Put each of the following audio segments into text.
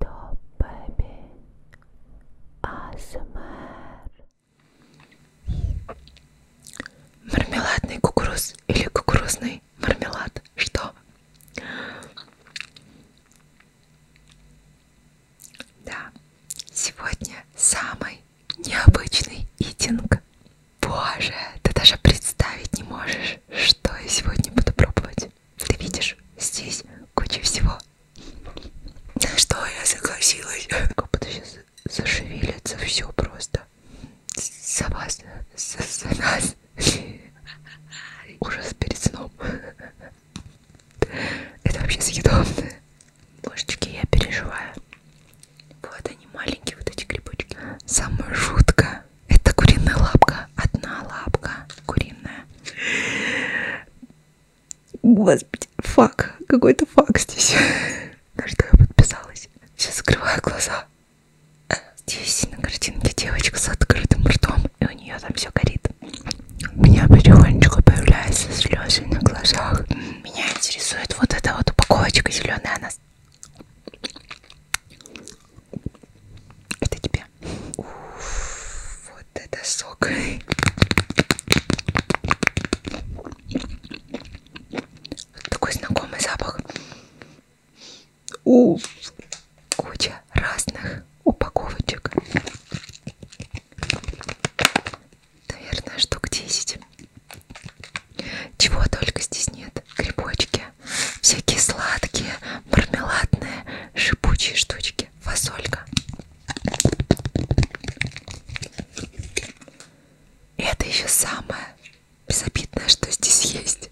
Top Baby ASMR Мармеладный кукуруз или кукурузный мармелад? Что? Да, сегодня самый необычный итинг. Боже, ты даже представить не можешь, что я сегодня буду пробовать. Ты видишь, здесь куча всего. На что я согласилась? Копыта сейчас зашевелится все просто. За вас, за, за нас. Ужас перед сном. Это вообще съедобно. Ложечки я переживаю. Вот они маленькие, вот эти грибочки. Самое жуткое это куриная лапка. Одна лапка куриная. Господи, фак. Какой-то фак здесь. На что я подписалась. Сейчас закрываю глаза. Здесь на картинке девочка с открытым ртом. И у нее там все горит. У меня потихонечку появляются слезы на глазах. Меня интересует вот эта вот упаковочка зеленая. Она это тебе Смотрите. Уф, вот это сок. Такой знакомый запах. Уф, куча разных упаковочек. Наверное, штук 10. Чего только здесь нет. Грибочки, штучки, всякие сладкие, мармеладные, шипучие штучки, фасолька. И это еще самое безобидное, что здесь есть.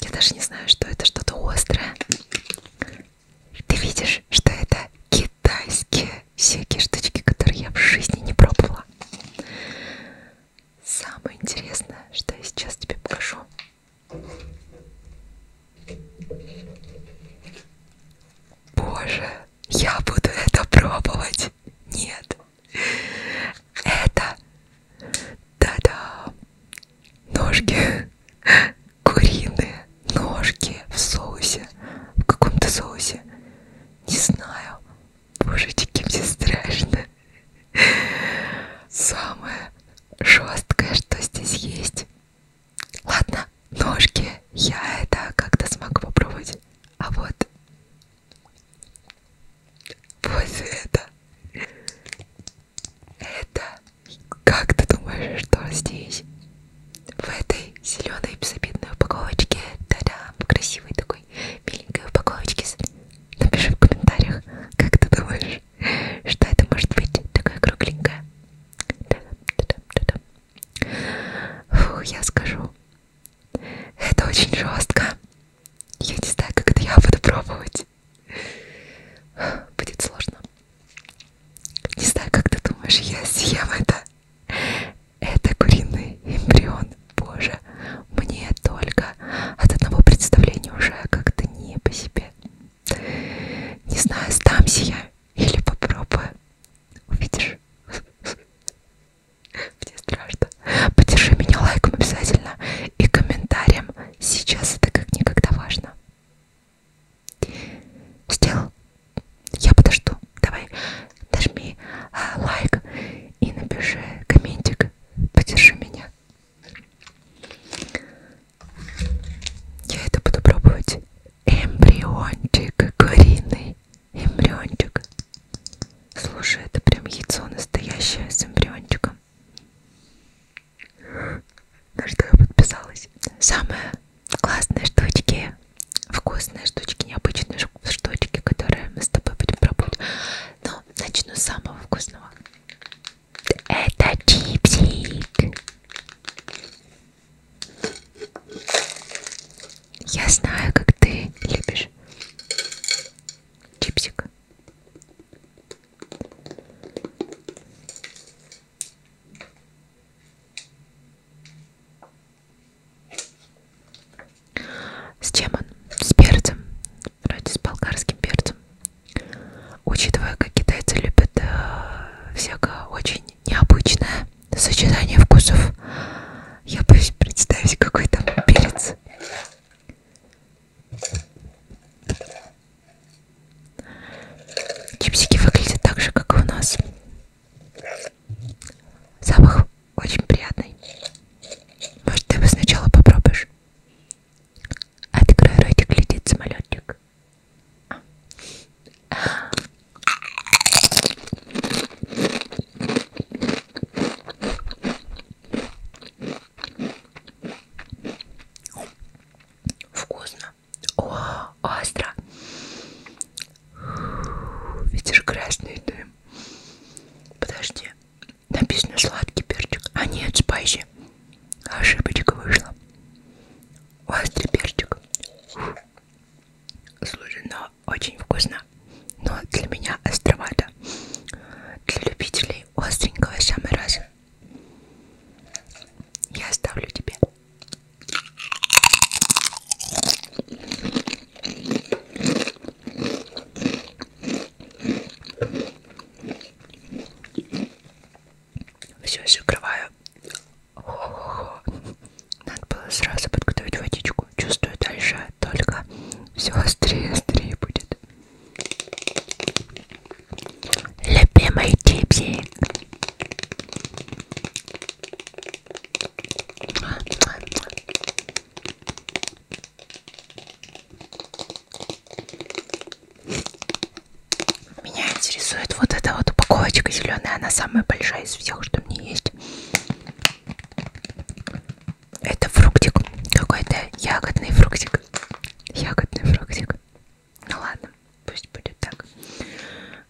Я даже не знаю, что это, что-то острое. Ты видишь, что это китайские всякие штучки, которые я в жизни не пробовала. Самое интересное, что я сейчас тебе покажу, Боже, я буду это пробовать. Нет. Это... Да-да. Ножки. Куриные ножки в соусе. В каком-то соусе. Не знаю. Божечки, мне страшно. Самое жесткое, что здесь есть. Ладно, ножки. Я это как-то смогу попробовать. А вот... Вот это. Это... Как ты думаешь, что здесь? В этой зеленой безобидной упаковочке. Да-да, красивой такой миленькой упаковочке. Напиши в комментариях, как ты думаешь, что это может быть? Такая кругленькая. Фух, я скажу. Это очень жестко. Я не знаю, как это я буду пробовать. Будет сложно. Не знаю, как ты думаешь, я съем это. Это куриный эмбрион. Боже, мне только от одного представления уже а как-то не по себе. Не знаю, сдамся я или попробую. Увидишь? Мне страшно. Поддержи меня лайком обязательно и комментарием. Сейчас это как никогда важно. Сделал? Я подожду. Давай, нажми а, лайк и напиши комментик. Поддержи меня. Я это буду пробовать. Эмбриончик куриный. Эмбриончик. Слушай, это прям яйцо настоящее с эмбриончиком. На что я подписалась. Самые классные штучки, вкусные штучки, необычные штучки, которые мы с тобой будем пробовать. Но начну с самого вкусного. Это чипсик. Я знаю, как ты любишь чипсик. С чем он? С перцем. Вроде с болгарским перцем. Учитывая, как китайцы любят э, всякое очень необычное сочетание вкусов, я боюсь представить, какой там перец. Чипсики выглядят так же, как и у нас. Запах очень приятный. Может, ты его сначала попробуешь? Открой ротик, летит самолетик. Вкусно. О, остро. Видишь красный дым. Подожди. Написано сладкий перчик. А нет, спайси. Ошибочка вышла. Острый перчик. Фу. Слушай, но ну, очень вкусно. Но для меня островато. Для любителей остренького самый раз. Я оставлю тебе. Все закрываю. Хо-хо-хо. Надо было сразу подготовить водичку. Чувствую дальше только все острее, острее будет. Любимый типси. Меня интересует вот эта вот упаковочка зеленая, она самая большая из всех, что мне есть. Это фруктик какой-то, ягодный фруктик, ягодный фруктик. Ну ладно, пусть будет так.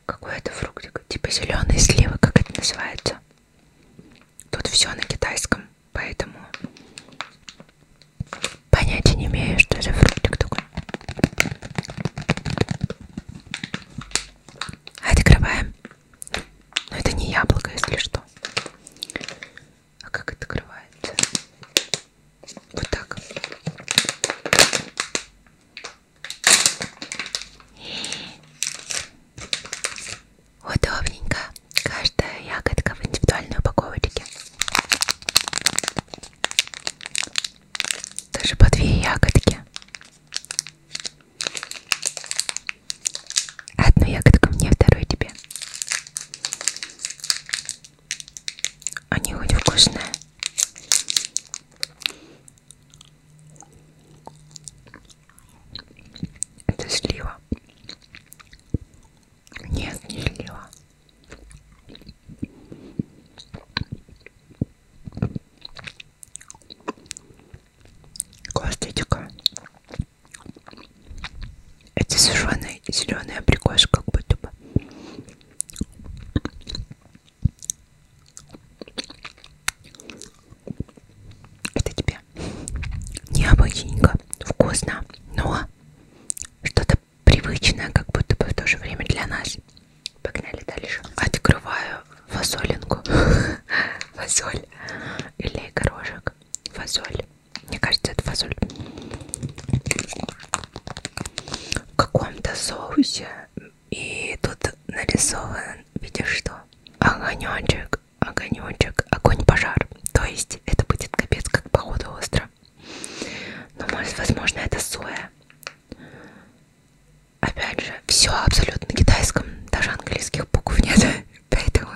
Какой это фруктик? Типа зеленые сливы, как это называется? Тут все на китайском поэтому понятия не имею, что за фруктик такой. Открываем. Но это не яблоко, если что. А как это открывается? Вот так. Удобненько. Каждая ягодка в индивидуальной упаковочке. Даже по две ягодки. Одну ягодку мне, вторую тебе. Они очень вкусные. Это слива. Нет, не лила. Косточка. Это сушеная зеленая прикош, как будто бы. Это тебе. Кстати, необычненько, вкусно, но что-то привычное, как будто бы в то же время для нас. Погнали дальше. Открываю фасолинку. Фасоль или горошек. Фасоль. Мне кажется, это фасоль. В каком-то соусе. И тут нарисован, видишь что? Огонечек огонечек, огонь, пожар. То есть это будет капец как походу остро. Но может, возможно, это соя. Опять же, все абсолютно на китайском, даже английских букв нет, поэтому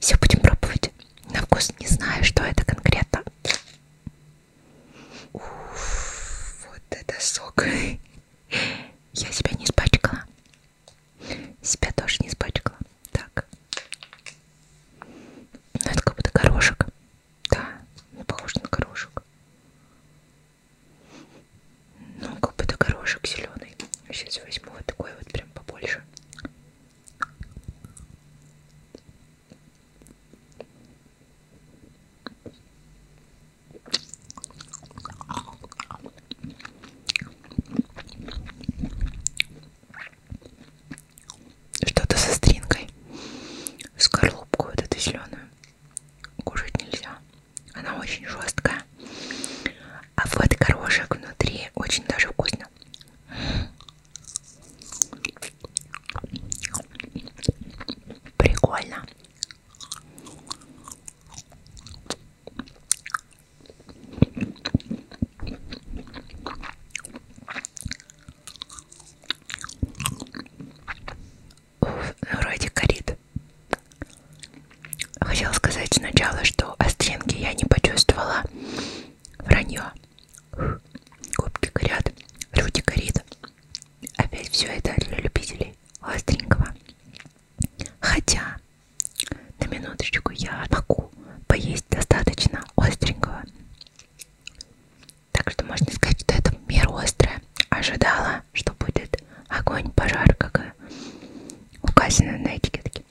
все будем пробовать. На вкус не знаю, что это конкретно. Уф, вот это сок. Я себя не испачкала. Себя тоже не испачкала. Так. Ну, это как будто горошек. Да, ну, похоже на горошек. Ну, как будто горошек зеленый. Сейчас возьму вот такой вот прям побольше. Что-то со стринкой. Скорлупку вот эту зеленую. Кушать нельзя. Она очень жесткая. А вот горошек внутри очень даже вкусно. Прикольно. Ну, вроде горит. Хотела сказать сначала, что остринки я не почувствовала. Вранье. Губки горят, люди горит. Опять все это для любителей остренького. Хотя на минуточку я могу поесть достаточно остренького. Так что можно сказать, что это мир острое. Ожидала, что будет огонь, пожар, как указано на этикетке.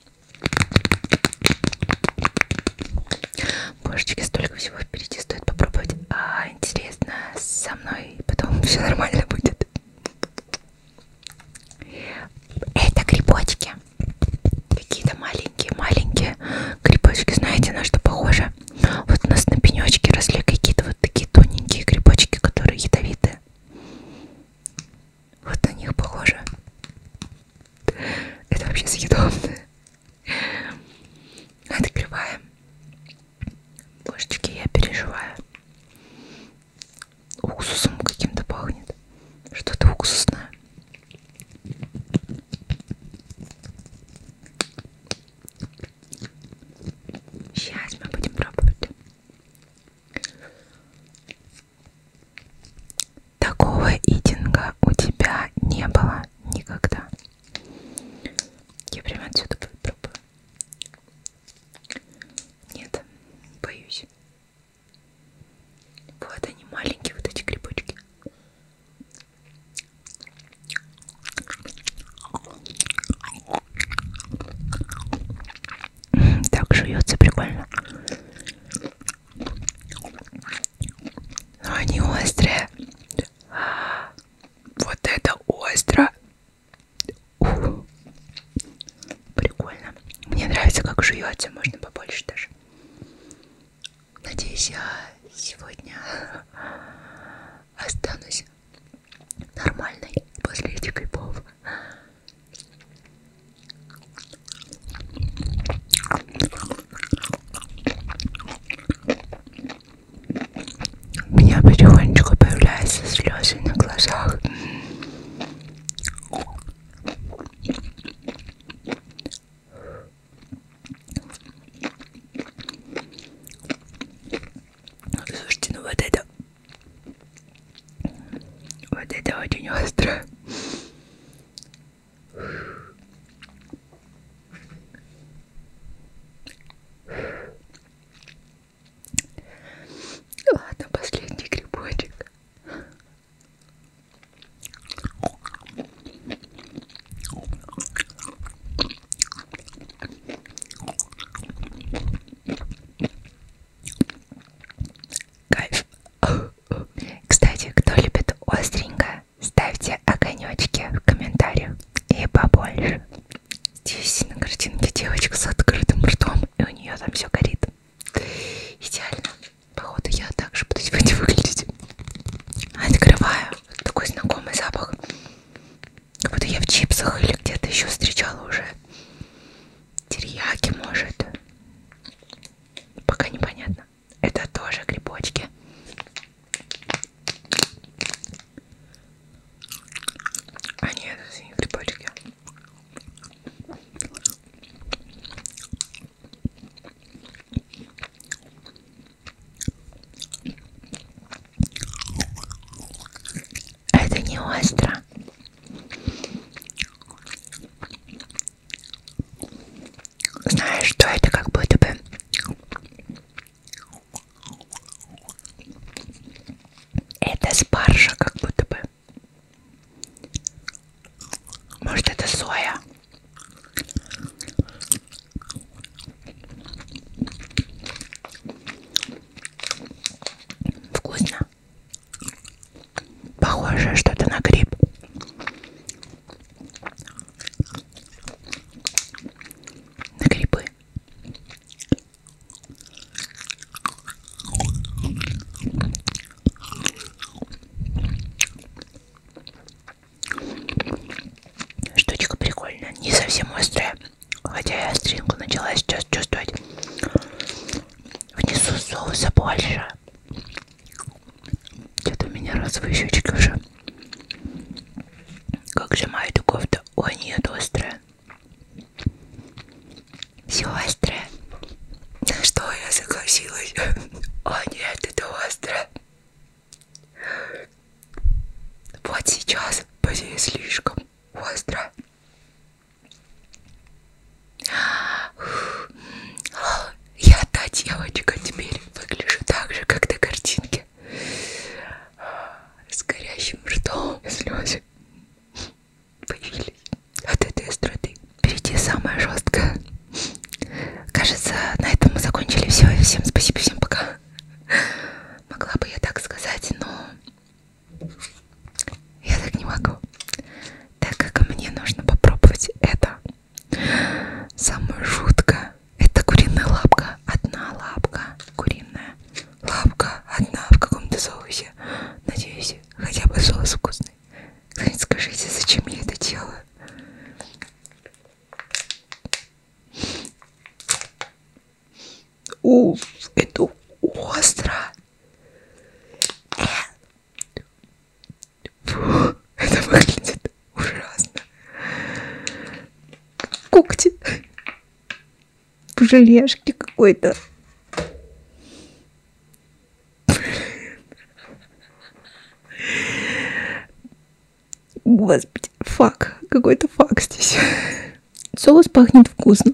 Божечки, столько всего впереди стоит попробовать. А, интересно, со мной потом все нормально будет. Это грибочки. Какие-то маленькие-маленькие грибочки. Знаете, на что похоже? Вот у нас на пенечке росли какие-то вот такие тоненькие грибочки, которые ядовитые. Вот на них похоже. Это вообще съедобно. Открываем. Божечки, я переживаю уксусом каким-то пахнет. Что-то уксусное. Сейчас мы будем пробовать. Такого идинга у тебя не было никогда. Я прямо отсюда попробую. Нет, боюсь. Вот они маленькие, вот эти грибочки. Так жуется прикольно. Но они острые. Вот это остро. Ух, прикольно. Мне нравится, как жуете, можно побольше даже. Надеюсь, я сегодня останусь нормальной после этих грибов. У меня потихонечку появляются слезы на глазах. Слушайте, ну вот это... Вот это очень остро. Ладно, последний грибочек. Кайф. Кстати, кто любит остренько, ставьте огонечки в комментариях и побольше. Здесь на картинке девочка с открытым ртом, и у нее там все горит. Идеально. Походу я также буду сегодня выглядеть. Открываю. Такой знакомый запах. Как будто я в чипсах или где-то еще встречала уже. Терияки, может. Пока непонятно. Это тоже грибочки. А нет, это не грибочки. Это не остро. Знаешь, что это как будто бы это спаржа, как будто бы может это соя? Вкусно. Похоже что-то на гриб. На грибы. Штучка прикольная, не совсем острая, хотя я остринку начала сейчас чувствовать. Внесу соуса больше. Что-то у меня розовые щечки уже. Как же мою кофта? Ой, нет, острая. Все острое. На что я согласилась? О а, нет, это острое. Вот сейчас пози слишком остро. Я та девочка теперь выгляжу так же, как на картинке. С горящим ртом и слезы появились от этой эстрады. Впереди самое жесткое. Кажется, на этом мы закончили все. Всем спасибо, всем пока. Могла бы я так сказать, но я так не могу. Так как мне нужно попробовать это. Самое жуткое. Это куриная лапка. Одна лапка куриная. Лапка одна в каком-то соусе. Надеюсь, хотя бы соус вкусный. Кто-нибудь скажите, зачем я это делаю? Уф, это остро. Фу, это выглядит ужасно. Когти в желешке какой-то. Господи, фак. Какой-то фак здесь. Соус пахнет вкусно.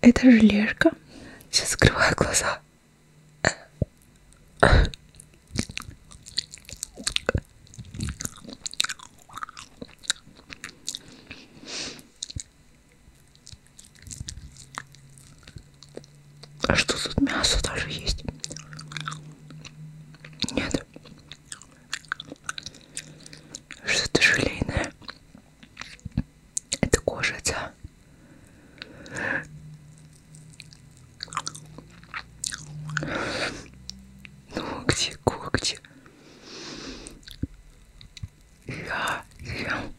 Это желешка. Сейчас закрываю глаза. А что тут мясо даже есть? Нет. Что-то желейное. Это кожица. Ногти, когти. Я ем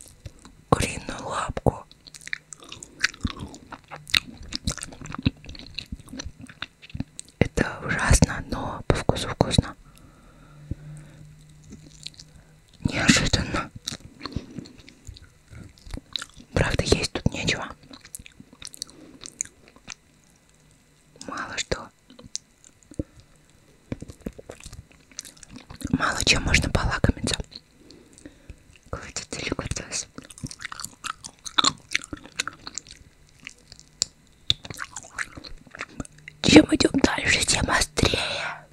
куриную лапку. Это ужасно, но по вкусу вкусно. Неожиданно. Правда, есть тут нечего. Мало что. Мало чем можно полакомиться. Какой-то деликатес. Чем идем дальше, тем острее.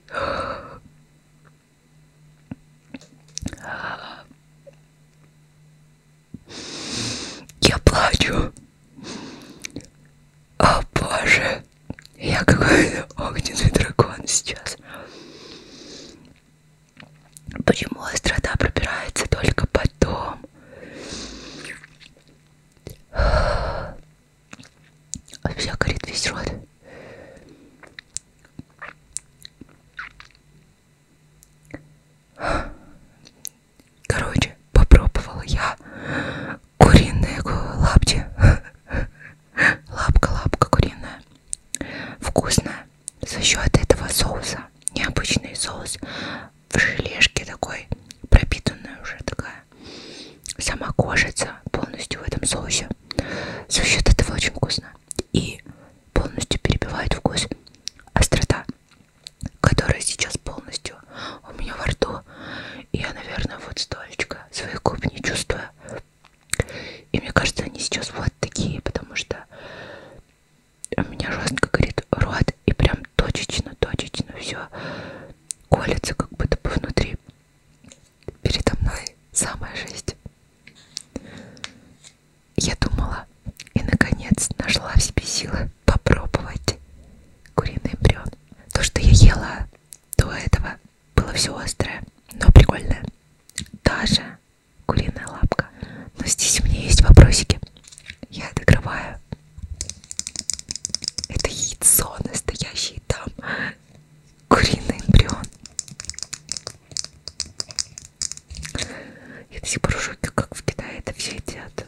Я плачу. О боже, я какой-то огненный дракон сейчас. Почему острота пробирается только потом? Все горит весь рот. Короче, попробовала я куриные лапти. Лапка-лапка куриная. Вкусная. За счет этого соуса. Необычный соус. В желешке такой, пропитанная уже такая. Сама кожица полностью в этом соусе. За счет этого очень вкусно. И полностью перебивает вкус острота которая сейчас полностью у меня во рту. И я, наверное, вот столечко своих губ не чувствую. И мне кажется, они сейчас вот такие, потому что у меня жестко горит рот и прям точечно-точечно все колется как будто бы внутри. Передо мной самая жесть. Я думала и наконец нашла в себе силы попробовать куриный бревн. То, что я ела до этого, было все острое, но прикольное. Даже куриная лапка. Но здесь у меня есть вопросики. Я открываю. Это яйцо настоящее там. Куриный эмбрион. Я до сих пор в шоке, как в Китае это все едят.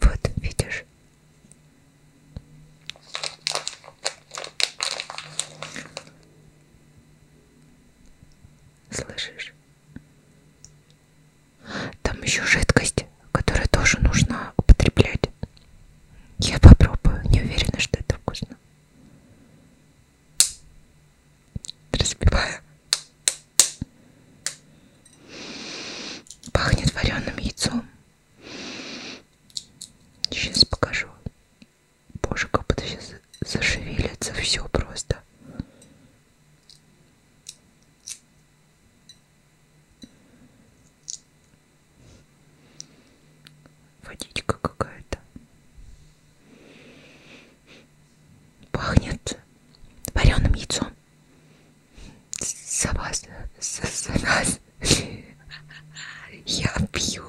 Вот, видишь, Слышишь? Там еще жидкость, которая тоже нужно употреблять. Я попробую, не уверена, что это вкусно. Разбиваю. Пахнет вареным яйцом. Сейчас покажу. Боже, как будто сейчас зашевелится все просто. Водичка какая-то. Пахнет вареным яйцом. Согласна. Согласна. Я пью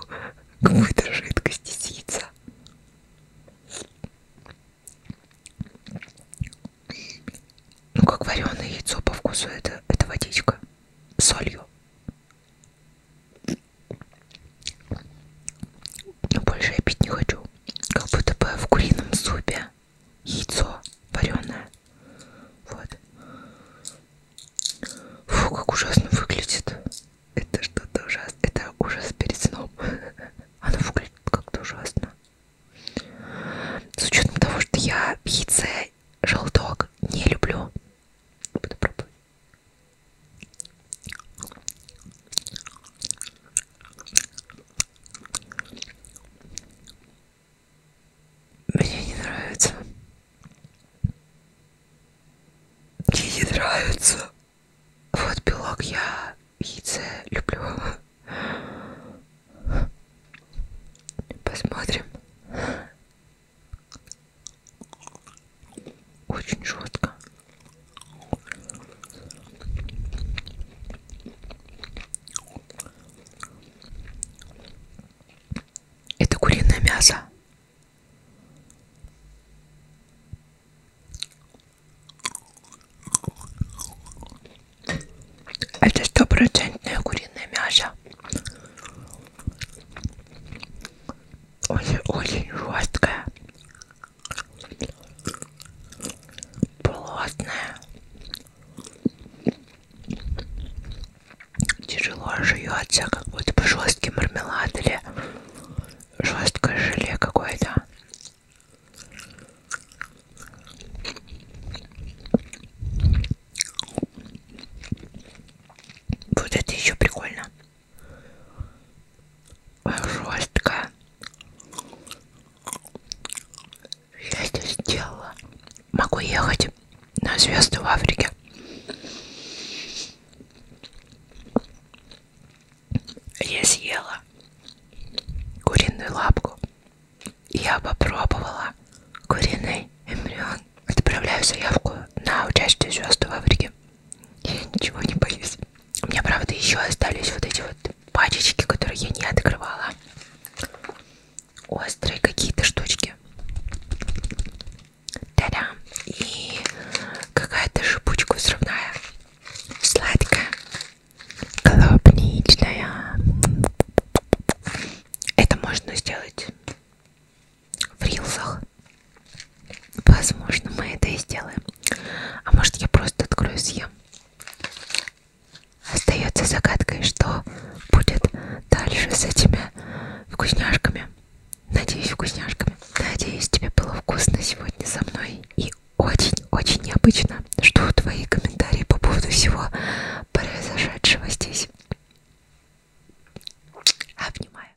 какую-то жидкость из яйца. Ну как вареное яйцо по вкусу это, это водичка с солью. Но больше я пить не хочу. Как будто бы в курином супе Яйцо вареное. Вот. Фу, как ужасно выглядит. Это что-то ужасно. Это ужас перед сном. Оно выглядит как-то ужасно. С учетом того, что я яйце, желток не люблю. Буду пробовать. Мне не нравится. Мне не нравится. Вот белок я яйце люблю. Посмотрим. Очень жестко. Это куриное мясо. Это стопроцентное куриное мясо. Очень-очень жесткое. Плотное. Тяжело жуется, как будто бы жесткий мармелад или жесткое желе какое-то. Вот это еще прикольно. Жестко я это сделала. Могу ехать на звезды в Африке. Я съела куриную лапку. Я попробовала куриный эмбрион. Отправляю заявку на участие звезды в Африке. Я ничего не боюсь. У меня, правда, еще остались вот эти вот пачечки, которые я не открывала. Острые какие-то штучки. Та-дам! И какая-то шипучка взрывная. Сладкая. Клубничная. Это можно сделать в рилсах. Возможно, мы это и сделаем. А может, я просто открою и съем. Остается загадкой, что будет дальше с этими вкусняшками. Надеюсь, вкусняшками. Надеюсь, тебе было вкусно сегодня со мной. И очень-очень необычно, что твои комментарии по поводу всего произошедшего здесь. Обнимаю.